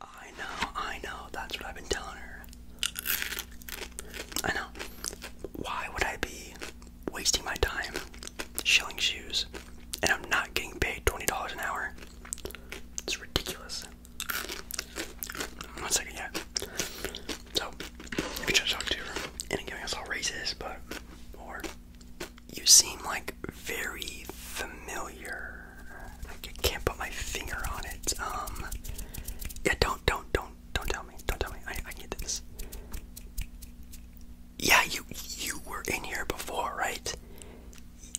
I know, I know, that's what I've been telling her. I know. Why would I be wasting my time shilling shoes and I'm not getting paid $20 an hour? It's ridiculous. One second, yeah. So, you can just talk to her and giving us all raises, but, or, you seem like very familiar. I can't put my finger on it. Um, yeah, don't, don't, don't, don't tell me. Don't tell me. I, I get this. Yeah, you, you were in here before, right?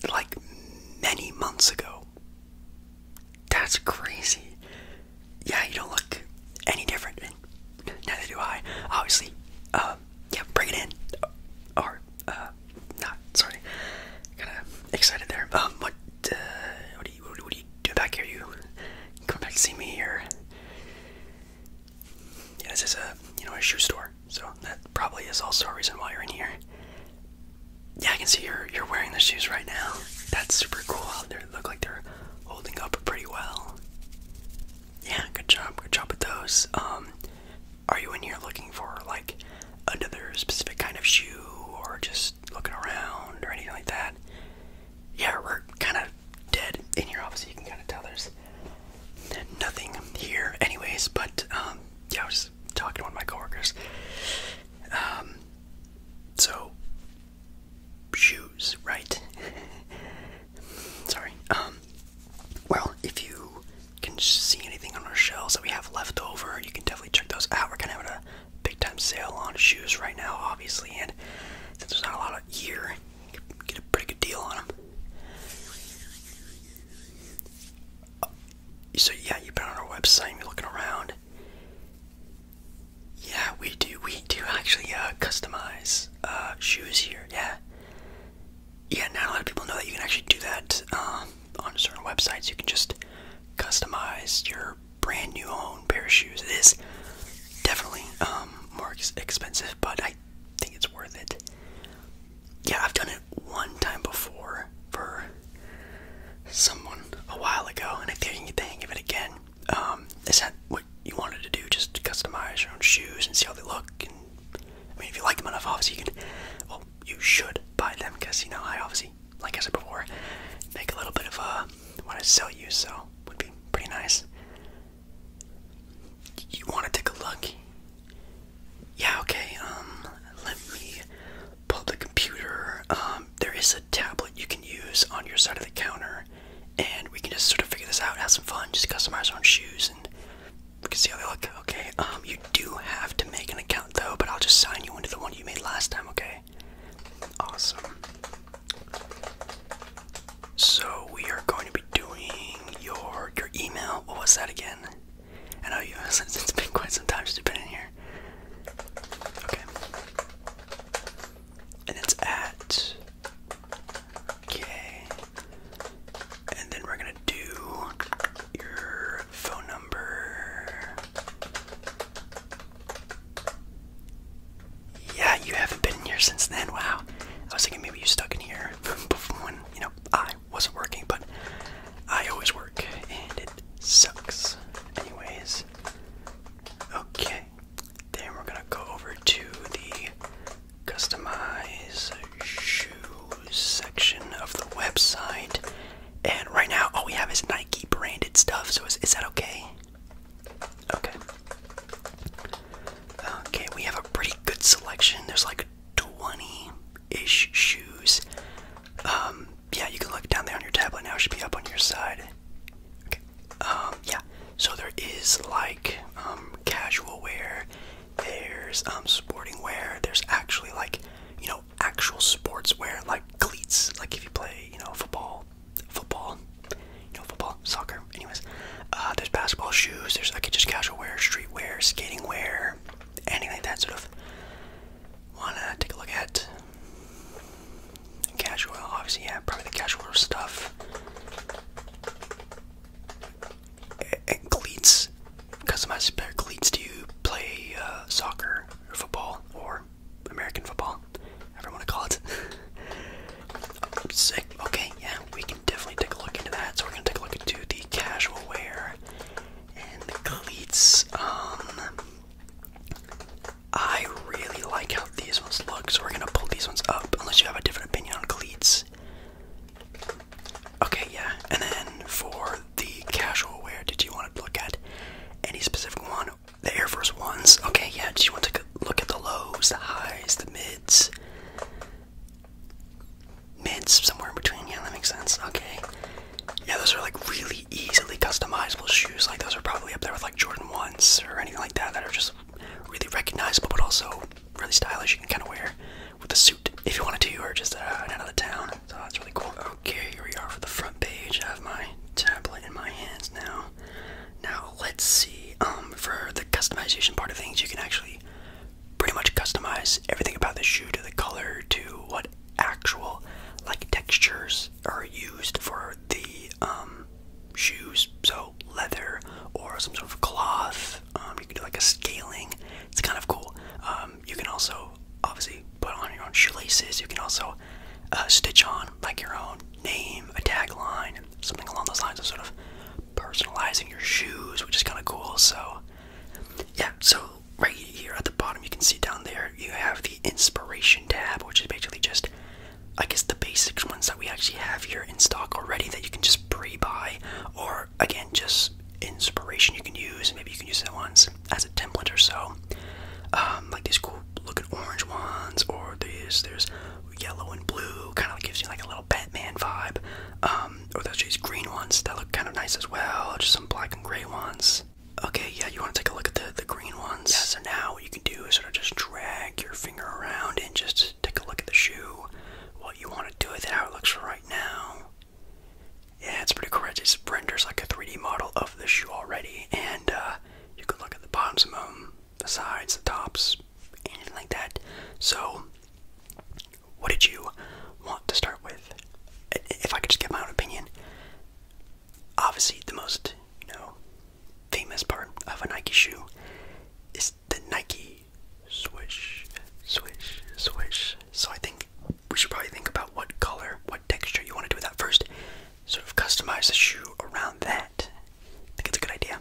Like many months ago. That's crazy. Yeah, you don't look any different. Neither do I. Obviously. Um, yeah, bring it in. Or, uh, not sorry. Kind of excited there. Um, uh, what, what do you, do back here? You come back to see me here? Yeah, this is a, you know, a shoe store, so that probably is also a reason why you're in here. Yeah, I can see you're you're wearing the shoes right now. That's super cool. They look like they're holding up pretty well. Yeah, good job, good job with those. Um, are you in here looking for like another specific kind of shoe or just looking around or anything like that? Yeah, we're kind of dead in here, obviously. You can kind of tell there's nothing here, anyways. But um, yeah, I was talking to one of my coworkers. Um, so shoes, right? Sorry. Um, well, if you can see anything on our shelves that we have left over, you can definitely check those out. We're kind of having a big time sale on shoes right now, obviously, and since there's not a lot of year, you get a pretty good deal on them. Oh, so yeah, you've been on our website, and you're looking around. Yeah, we do. We do actually uh, customize uh, shoes here. Yeah, yeah. Not a lot of people know that you can actually do that. Um, on certain websites you can just customize your brand new own pair of shoes. It is definitely um, more expensive, but I think it's worth it. Yeah, I've done it one time before for someone a while ago, and I think I can get the hang it again. Um, is that what you wanted to do? Just customize your own shoes and see how they look. And I mean, if you like them enough, obviously you can you should buy them because you know I obviously, like I said before, make a little bit of a uh, want to sell you. So would be pretty nice. You want to take a look? Yeah. Okay. Um, let me pull the computer. Um, there is a tablet you can use on your side of the counter, and we can just sort of figure this out, have some fun, just customize our own shoes and we can see how they look. Okay, um, you do have to make an account though, but I'll just sign you into the one you made last time, okay? Awesome. So we are going to be doing your your email. What was that again? I know you since it's been quite some time since you've been in here. Okay. And it's at Okay. And then we're gonna do your phone number. Yeah, you haven't been in here since then. Wow. I was thinking maybe you stuck in here when, you know, I wasn't working, but I always work and it sucks. Anyways. Okay. Then we're gonna go over to the customize shoes section of the website. And right now, all we have is Nike branded stuff. So is, that okay? Okay. Okay, we have a pretty good selection. There's like 20 ish shoes. Um, yeah, you can look down there on your tablet now. It should be up on your side. Okay. Um, yeah. So there is like um, casual wear. There's um, sporting wear. There's actually like you know Actual sports wear like cleats, like if you play, you know, football, football, you know, football, soccer, anyways. Uh, there's basketball shoes, there's like just casual wear, street wear, skating wear, anything like that sort of. Wanna take a look at casual, obviously, yeah, probably the casual stuff. And cleats, customize their cleats to play uh, soccer or football or American football, whatever want to call it. Sick. Okay, yeah, we can definitely take a look into that. So we're gonna take a look into the casual wear and the cleats. Um, I really like how these ones look, so we're gonna pull these ones up. Unless you have a different opinion on cleats. Okay, yeah, and then for the casual wear, did you want to look at any specific one? The Air Force Ones? Okay, yeah, did you want to look at the lows, the highs, the mids? Mids, somewhere in between, yeah, that makes sense. Okay. Yeah, those are like really easily customizable shoes. Like, those are probably up there with like Jordan 1s or anything like that that are just really recognizable but also really stylish. You can kind of wear with a suit if you wanted to, or just uh, out of the town. So that's really cool. Okay, here we are for the front page. I have my tablet in my hands now. Now let's see. Um, for the customization part of things, you can actually pretty much customize everything about the shoe to the color to what actual like textures are used for the um shoes. So leather or some sort of cloth. Um, you can do like a scaling. It's kind of cool. Um, um, you can also obviously put on your own shoelaces. You can also uh, stitch on like your own name, a tagline, something along those lines of sort of personalizing your shoes, which is kind of cool. So, yeah, so right here at the bottom, you can see down there you have the inspiration tab, which is basically just I guess the basics ones that we actually have here in stock already that you can just pre buy or again just inspiration you can use. Maybe you can use that ones as a template or so. Um, like these cool looking orange ones, or these there's yellow and blue, kind of gives you like a little Batman vibe. Um, or there's these green ones that look kind of nice as well. Just some black and gray ones. Okay, yeah, you want to take a look at the the green ones. so now what you can do is sort of just drag your finger around and just take a look at the shoe. What you want to do with it, how it looks right now. Yeah, it's pretty courageous. It renders like a 3D model of the shoe already, and uh, you can look at the bottoms of them, the sides, the tops, anything like that. So, what did you want to start with? If I could just give my own opinion, obviously the most you know famous part of a Nike shoe is the Nike swish, swish, swish. So I think we should probably think about what color, what texture you want to do with that first. Sort of customize the shoe around that. I think it's a good idea.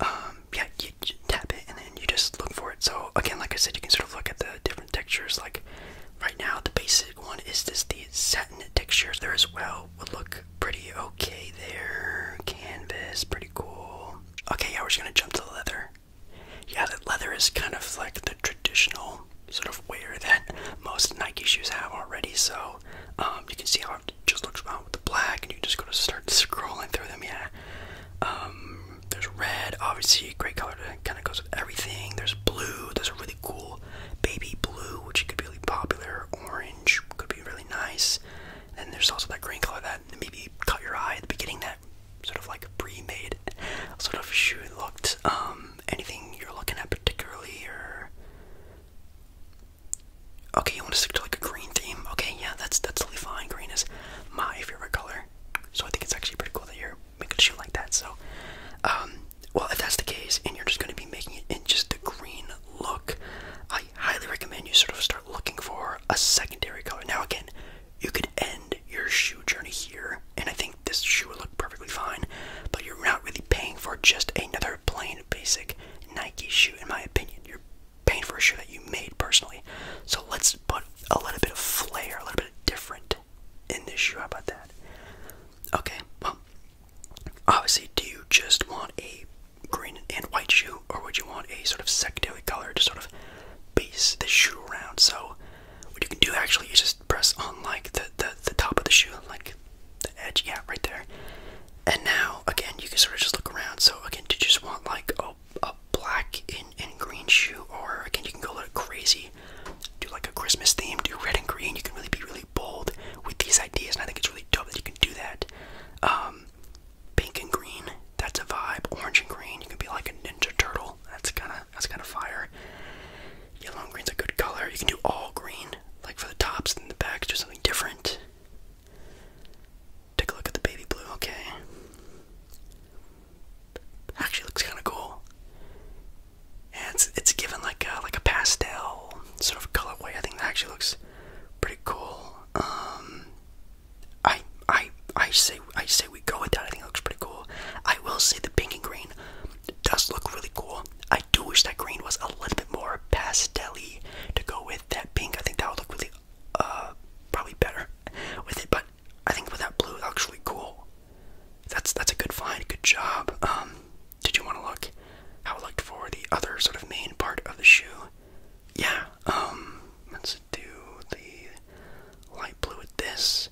Um, yeah, you, you tap it and then you just look for it. So again, like I said, you can sort of look at the different textures. Like right now, the basic one is just the satin texture there as well. Would look pretty okay there. Canvas, pretty cool. Okay, yeah, we're just gonna jump to leather. Yeah, that leather is kind of like the traditional sort of wear that most Nike shoes have already. So um, you can see how it just looks around with the black, and you just go to start scrolling through them. Yeah, um, there's red, obviously, great color that kind of goes with everything. There's blue. There's a really cool baby blue, which could be really popular. Orange could be really nice. And there's also that green color that maybe caught your eye at the beginning. That sort of like pre-made sort of shoe looked. Um, anything you're looking at particularly, okay, you want to stick to like a green theme? Okay, yeah, that's that's totally fine. Green is my favorite color, so I think it's actually pretty cool that you're making a shoe like that. So, um, well, if that's the case, and you're just going to be making it in just the green look, I highly recommend you sort of start looking for a secondary color. Now, again, you could end your shoe journey here, and I think this shoe would look perfectly fine, but you're not really paying for just another plain basic Nike shoe, in my opinion. You're paying for a shoe that you made personally. So let's put a little bit of flair, a little bit of different in this shoe. How about that? Okay, well, obviously, do you just want a green and white shoe, or would you want a sort of secondary color to sort of base the shoe around? So what you can do actually is just press on like the, the, the top of the shoe, like the edge, yeah, right there. And now, again, you can sort of just look around. So, again, did you just want like a, a black and, and green shoe? Or, again, you can go a crazy, do like a Christmas theme, do red and green. You can really be really bold with these ideas. And I think it's really dope that you can do that. Um, pink and green, that's a vibe. Orange and green, you can be like a Ninja Turtle. That's kind of that's kind of fire. Yellow and green's a good color. You can do all green, like for the tops and the backs, do something different. Take a look at the baby blue. Okay, actually looks kind of cool. Yeah, it's it's given like a like a pastel sort of colorway. I think that actually looks pretty cool. Um, I I I say I say we go with that. I think it looks pretty cool. I will say the pink and green does look really cool. I do wish that green was a little bit more pastelly to go with that pink. I think that would look really uh probably better with it, but I think with that blue it looks really cool. That's that's a good find, good job. Um did you want to look how it looked for the other sort of main part of the shoe? Yeah, um let's do the light blue with this.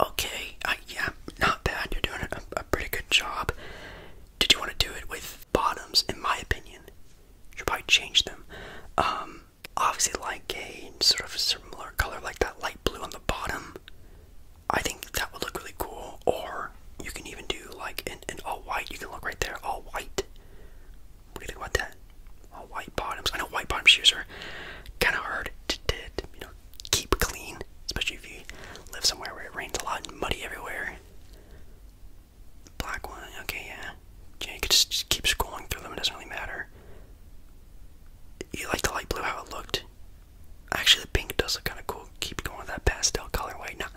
Okay, I, yeah, not bad. You're doing a, pretty good job. Did you want to do it with bottoms? In my opinion, you probably change them. Um, obviously, like a sort of similar color, like that light blue on the bottom. I think that would look really cool. Or you can even do like an, an all white. You can look right there, all white. We're gonna go that. All uh, white bottoms. I know white bottom shoes are kind of hard to, keep clean, especially if you live somewhere where it rains a lot and muddy everywhere. Black one. Okay, yeah. you could just, just keep scrolling through them. It doesn't really matter. You like the light blue how it looked. Actually, the pink does look kind of cool. Keep going with that pastel colorway. Now,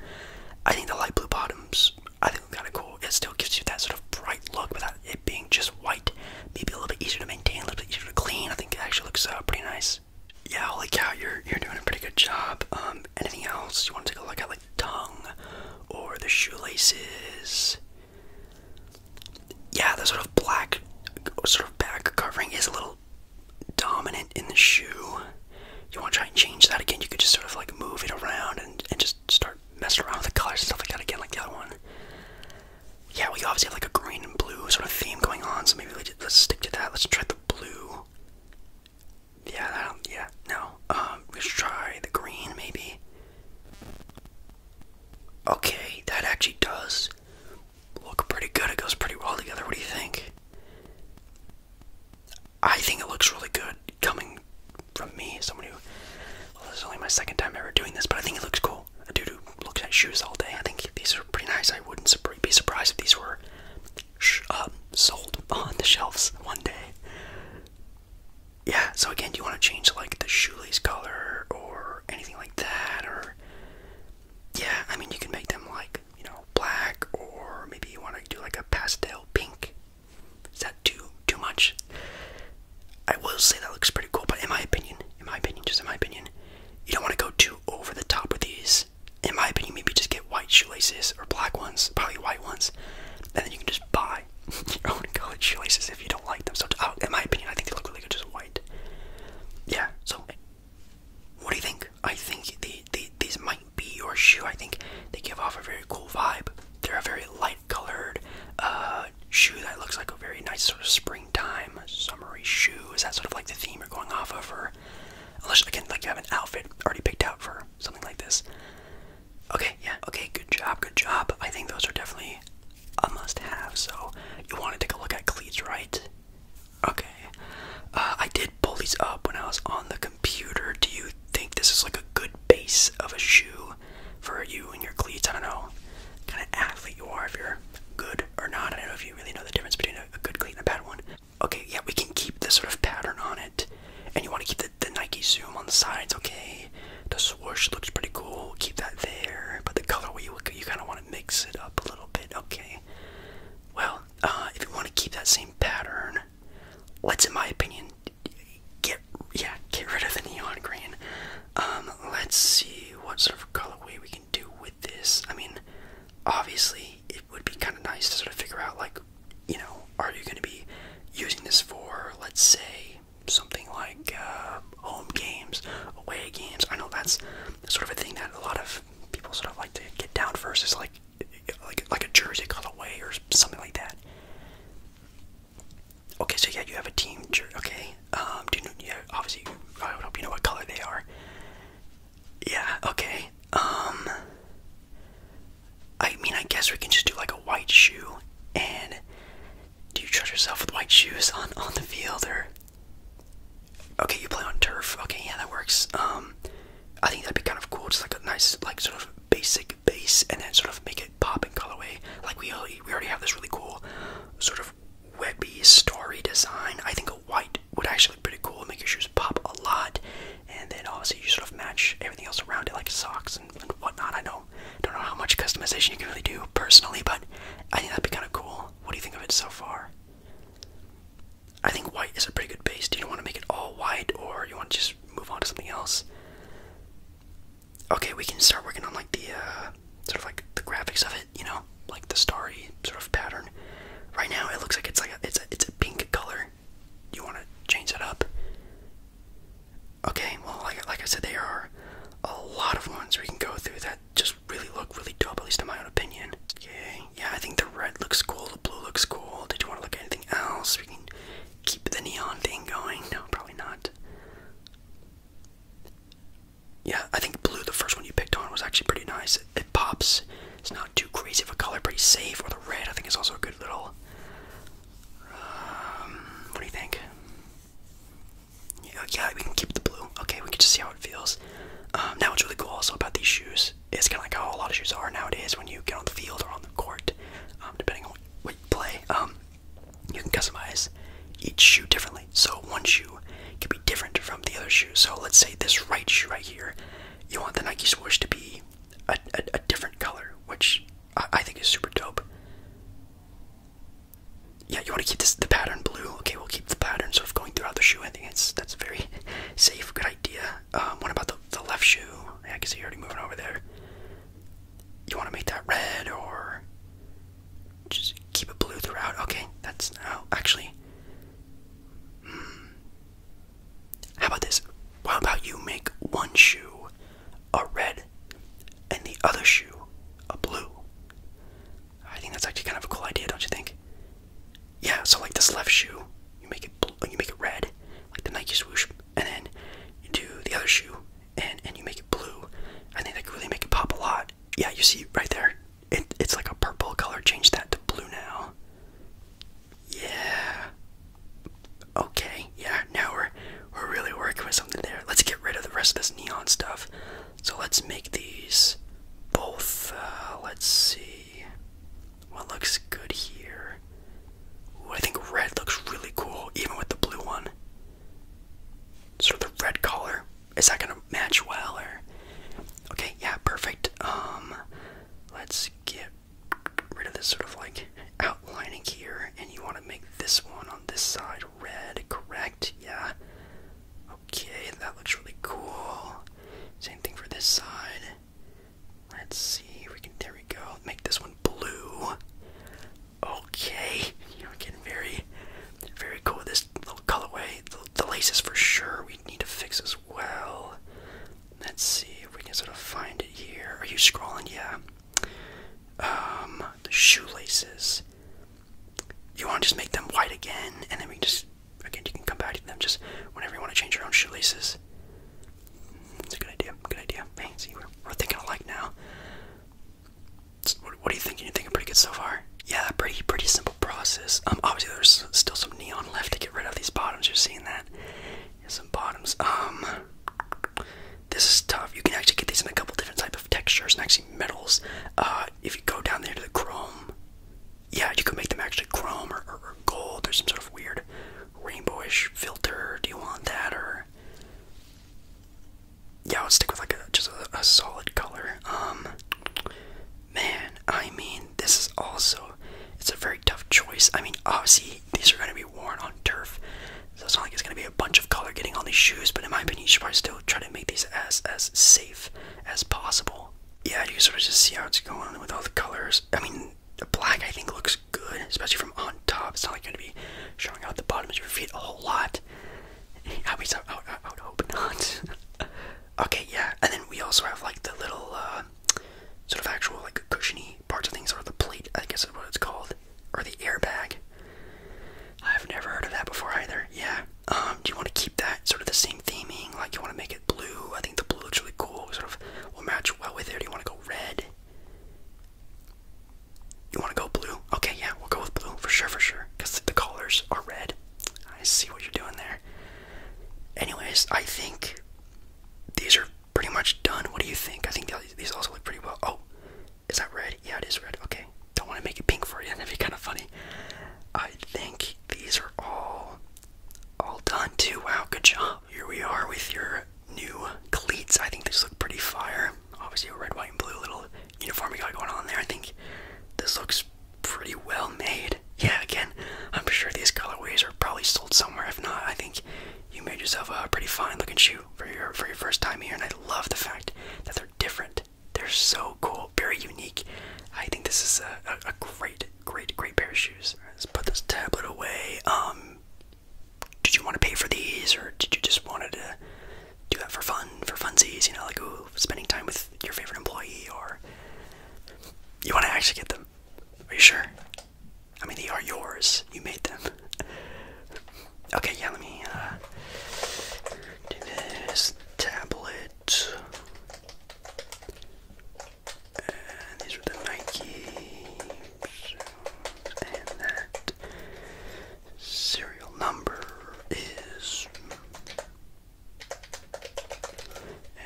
I think the light blue bottoms I think kind of cool. It still gives you that sort of bright look without it being just white. Maybe a little bit easier to maintain, a little bit easier to clean. I think it actually looks uh, pretty nice. Yeah, holy cow, you're you're doing a pretty good job. Um, anything else you want to take a look at, like the tongue or the shoelaces? Yeah, the sort of black sort of back covering is a little dominant in the shoe. You want to try and change that again? You could just sort of like move it around and and just start messing around with the colors and stuff like that again, like the other one. Yeah, we obviously have like a green and blue sort of theme going on, so maybe let's stick to that. Let's try the blue. Yeah, yeah, no. Um, let's try the green, maybe. Okay, that actually does look pretty good. It goes pretty well together. What do you think? I think it looks really good coming from me, someone who well, this is only my second time ever doing this, but I think it looks cool. A dude who looks at shoes all day. I think these are pretty nice. I wouldn't be surprised if these were uh, sold on the shelves one day. Yeah. So again, do you want to change like the shoelace color or anything like that, or yeah? I mean, you can make them like you know black, or maybe you want to do like a pastel pink is that too too much? I will say that looks pretty cool, but in my opinion, in my opinion, just in my opinion, you don't want to go too over the top with these. In my opinion, maybe just get white shoelaces or black ones, probably white ones, and then you can just buy your own colored shoelaces if you don't like them. So, oh, in my opinion, I think they look really good just white. Yeah. So, what do you think? I think the, the these might be your shoe. I think they give off a very cool vibe. They're a very light-colored uh, shoe that looks like a very nice sort of springtime, summery shoe. Is that sort of like the theme you're going off of, or unless again, like you have an outfit already picked out for something like this? Okay, yeah, okay, good job, good job. I think those are definitely a must-have. So you want to take a look at cleats, right? Okay, uh, I did pull these up when I was on the computer. Do you think this is like a good base of a shoe? for you and your cleats. I don't know kind of athlete you are, if you're good or not. I don't know if you really know the difference between a, good cleat and a bad one. Okay, yeah, we can keep this sort of pattern on it. And you want to keep the, Nike Zoom on the sides, okay? The swoosh looks pretty cool. Keep that there. But the colorway, you, you kind of want to mix it up a little bit, okay? Well, uh, if you want to keep that same pattern, Let's, in my opinion, get yeah, get rid of the neon green. Um, let's see what sort of colorway we can do with this. I mean, obviously, it would be kind of nice to sort of figure out, like, you know, are you going to be using this for, let's say, something like uh, home games, away games? I know that's sort of a thing that a lot of people sort of like to get down versus like like like a jersey colorway or something like that. Okay, so yeah, you have a team Okay, um, do you obviously, I would you know what color they are. Yeah. Okay. Um, I mean, I guess we can just do like a white shoe. And do you trust yourself with white shoes on on the field or? Okay, you play on turf. Okay, yeah, that works. Um, I think that'd be kind of cool. Just like a nice, like sort of basic base and then sort of make it pop in colorway. Like we already, we already have this really cool sort of webby story design. I think a white would actually be pretty cool make your shoes pop a lot. And then obviously you sort of match everything else around it, like socks and, and whatnot. I know, don't know how much customization you can really do personally, but I think that'd be kind of cool. What do you think of it so far? I think white is a pretty good base. Do you want to make it all white, or you want to just move on to something else? okay, we can start working on like the uh, sort of like the graphics of it, you know, like the starry sort of pattern. Right now, it looks like it's like a, it's it's a pink color. You want to change that up? Okay, well, like like I said, there are a lot of ones we can go through that just really look really dope, at least in my own opinion. Okay, yeah, I think the red looks cool, the blue looks cool. Did you want to look at anything else? We can keep the neon thing going. No, probably not. Yeah, I think blue, the first one you picked on, was actually pretty nice. It, pops. It's not too crazy of a color, pretty safe. Or the red, I think, is also a good little. Um, what do you think? Yeah, yeah, we can keep the blue. Okay, we can just see how it feels. now, um, what's really cool also about these shoes is kind of like how a lot of shoes are nowadays when you get on the field or on the court, um, depending on what you play you can customize each shoe differently. So one shoe can be different from the other shoe. So let's say this right shoe right here, you want the Nike swoosh to be a, different color, which I, think is super dope. Yeah, you want to keep this the pattern blue. Okay, we'll keep the pattern sort of going throughout the shoe. I think that's that's very safe, good idea. Um, what about the left shoe? Yeah, I can see you are already moving over there you want to make that red or just keep it blue throughout. Okay, that's now actually. Hmm, how about this? How about you make one shoe a red and the other shoe a blue? I think that's actually kind of a cool idea, don't you think? Yeah, so like this left shoe, you make it blue, you make it red, like the Nike swoosh, and then you do the other shoe and and you make it blue. I think that really make it pop a lot. Yeah, you see right there, it, it's like a purple color. Change that to blue now. Yeah. Okay, yeah, now we're we're really working with something there. Let's get rid of the rest of this neon stuff. So let's make these both uh, let's see what looks good here. I think red looks really cool, even with the blue one. Sort the red color. Is that gonna match well or okay, yeah, perfect. Um let's get rid of this sort of like outlining here, and you wanna make this one on this side red, correct? Yeah. Okay, that looks really cool. Same thing for this side. Let's see if we can there we go. Make this one blue. Okay, you're getting very, very cool. with This little colorway, the, laces for sure we need to fix as well. Let's see if we can sort of find it here. Are you scrolling? Yeah. Um, the shoelaces. You want to just make them white again, and then we can just again you can come back to them just whenever you want to change your own shoelaces this. a good idea. Good idea. we're, thinking alike now. What, are you thinking? You're thinking pretty good so far. Yeah, pretty pretty simple process. Um, obviously there's still some neon left to get rid of these bottoms. You're seeing that. some bottoms. Um, this is tough. You can actually get these in a couple different type of textures and actually metals. Uh, if you go down there to the chrome, yeah, you can make them actually chrome or gold or some sort of weird rainbowish filter? Do you want that or? Yeah, I would stick with like just a, solid color. Um, man, I mean, this is also it's a very tough choice. I mean, obviously these are going to be worn on turf, so it's not like it's going to be a bunch of color getting on these shoes. But in my opinion, you should probably still try to make these as as safe as possible. Yeah, you sort of just see how it's going with all the colors. I mean, the black I think looks good, especially from on top. It's not like gonna be showing out the bottoms of your feet a whole lot. I, would hope not. okay, yeah, and then we also have like the little uh, sort of actual like cushiony parts of things, or the plate, I guess is what it's called, or the airbag. I've never heard of that before either. Yeah. Um, do you want to keep that sort of the same theming? Like you want to make it blue? I think the blue looks really cool. Sort of will match well with it. do you want to go red? You want to go blue? Okay, yeah, we'll go with blue for sure, for sure. Because the colors are red. I see what you're doing there. Anyways, I think these are pretty much done. What do you think? I think these also look pretty well. Oh, is that red? Yeah, it is red. Okay, don't want to make it pink for you. That'd be kind of funny. I think these are all all done too. Wow, good job. Here we are with your new cleats. I think these look pretty fire. Obviously, a red, white, and blue little uniform you got going on there. I think this looks pretty well made. Yeah, again, I'm sure these colorways are probably sold somewhere. If not, I think you made yourself a pretty fine looking shoe for your for your first time here. And I love the fact that they're different. They're so cool, very unique. I think this is a, great, great, great pair of shoes. Let's put this tablet away. Um, did you want to pay for these or did you just wanted to do that for fun for funsies you know like spending time with your favorite employee or you want to actually get them are you sure i mean they are yours you made them okay yeah let me uh, do this tablet these are the Nike and that serial number is.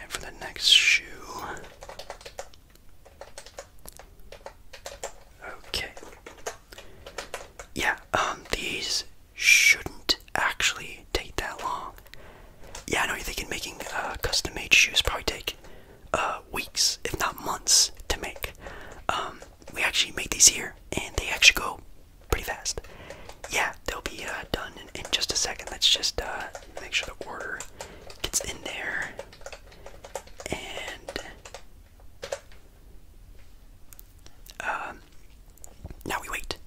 And for the next shoe. Okay. Yeah, um, these shouldn't actually take that long. Yeah, I know you're thinking making uh, custom made shoes probably take uh, weeks, if not months, to make. Um, we actually made these here, and they actually go pretty fast. Yeah, they'll be uh, done in, just a second. Let's just uh, make sure the order gets in there. And um, now we wait.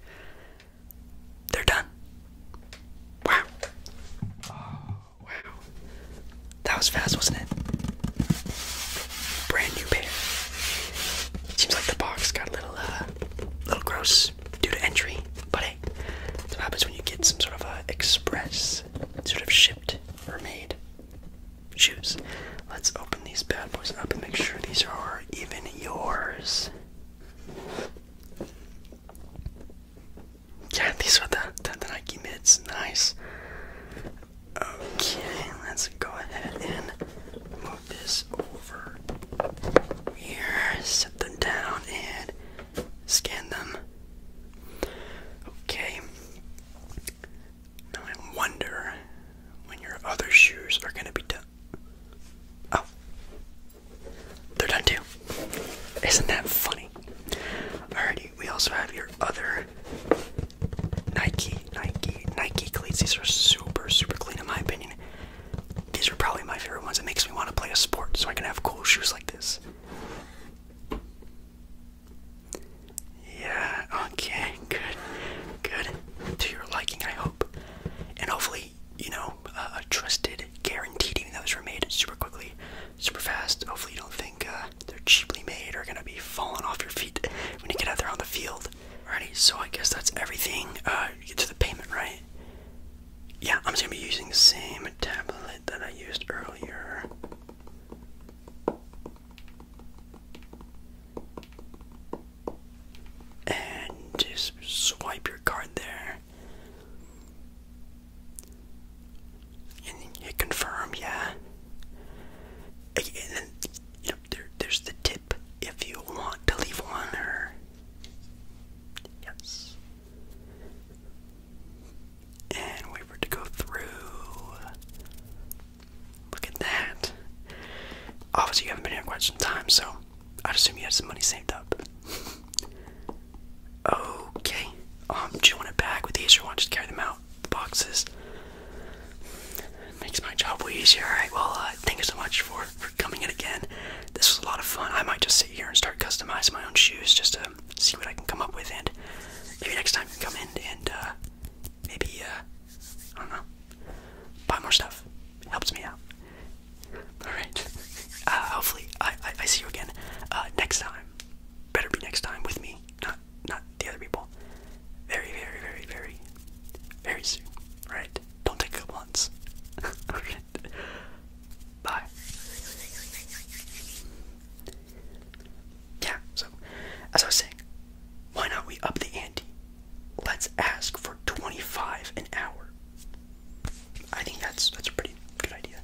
They're done. Wow. Wow. That was fast, wasn't it? Brand new pair. Seems like the box got a little, uh, little gross due to entry, but hey, what happens when you get some sort of uh, express, sort of shipped or made shoes. Let's open these bad boys up and make sure these are even yours. Yeah, these are the, the Nike mids. Nice. Okay, let's go ahead and move this over here. Set them down and scan them. Okay. Now I wonder when your other shoes are gonna be done. Oh. They're done too. Isn't that funny? Alrighty, we also have your other Nike, Nike, Nike cleats. These are super, super clean in my opinion. These are probably my favorite ones. It makes me want to play a sport so I can have cool shoes like this. Yeah, okay, good, good. To your liking, I hope. And hopefully, you know, a trusted, guaranteed, those were made super quickly, super fast. Hopefully, you don't think uh, they're cheaply made or gonna be falling off your feet when you get out there on the field. Alrighty, so I guess that's everything. Uh, get to the payment, right? Yeah, I'm just gonna be using the same tablet that I used earlier. And just swipe your card there and hit confirm, yeah. And then you there's the tip if you want to leave one yes. And we were to go through. Look at that. Obviously, you haven't been here quite some time, so I'd assume you had some money saved up. Okay. Um, do you want a bag with these or want to just carry them out? The boxes. Makes my job way easier. Alright, well, uh, thank you so much for, for coming in again. This was a lot of fun. I might just sit here and start customizing my own shoes just to see what I can come up with. And maybe next time you come in and uh, maybe, uh, I don't know, buy more stuff. helps me out. Alright. Uh, hopefully, I, I, I see you again uh, next time better be next time with me, not not the other people. Very, very, very, very, very soon. Right? Don't take a couple Alright. Bye. Yeah, so as I was saying, why not we up the ante? Let's ask for 25 an hour. I think that's that's a pretty good idea.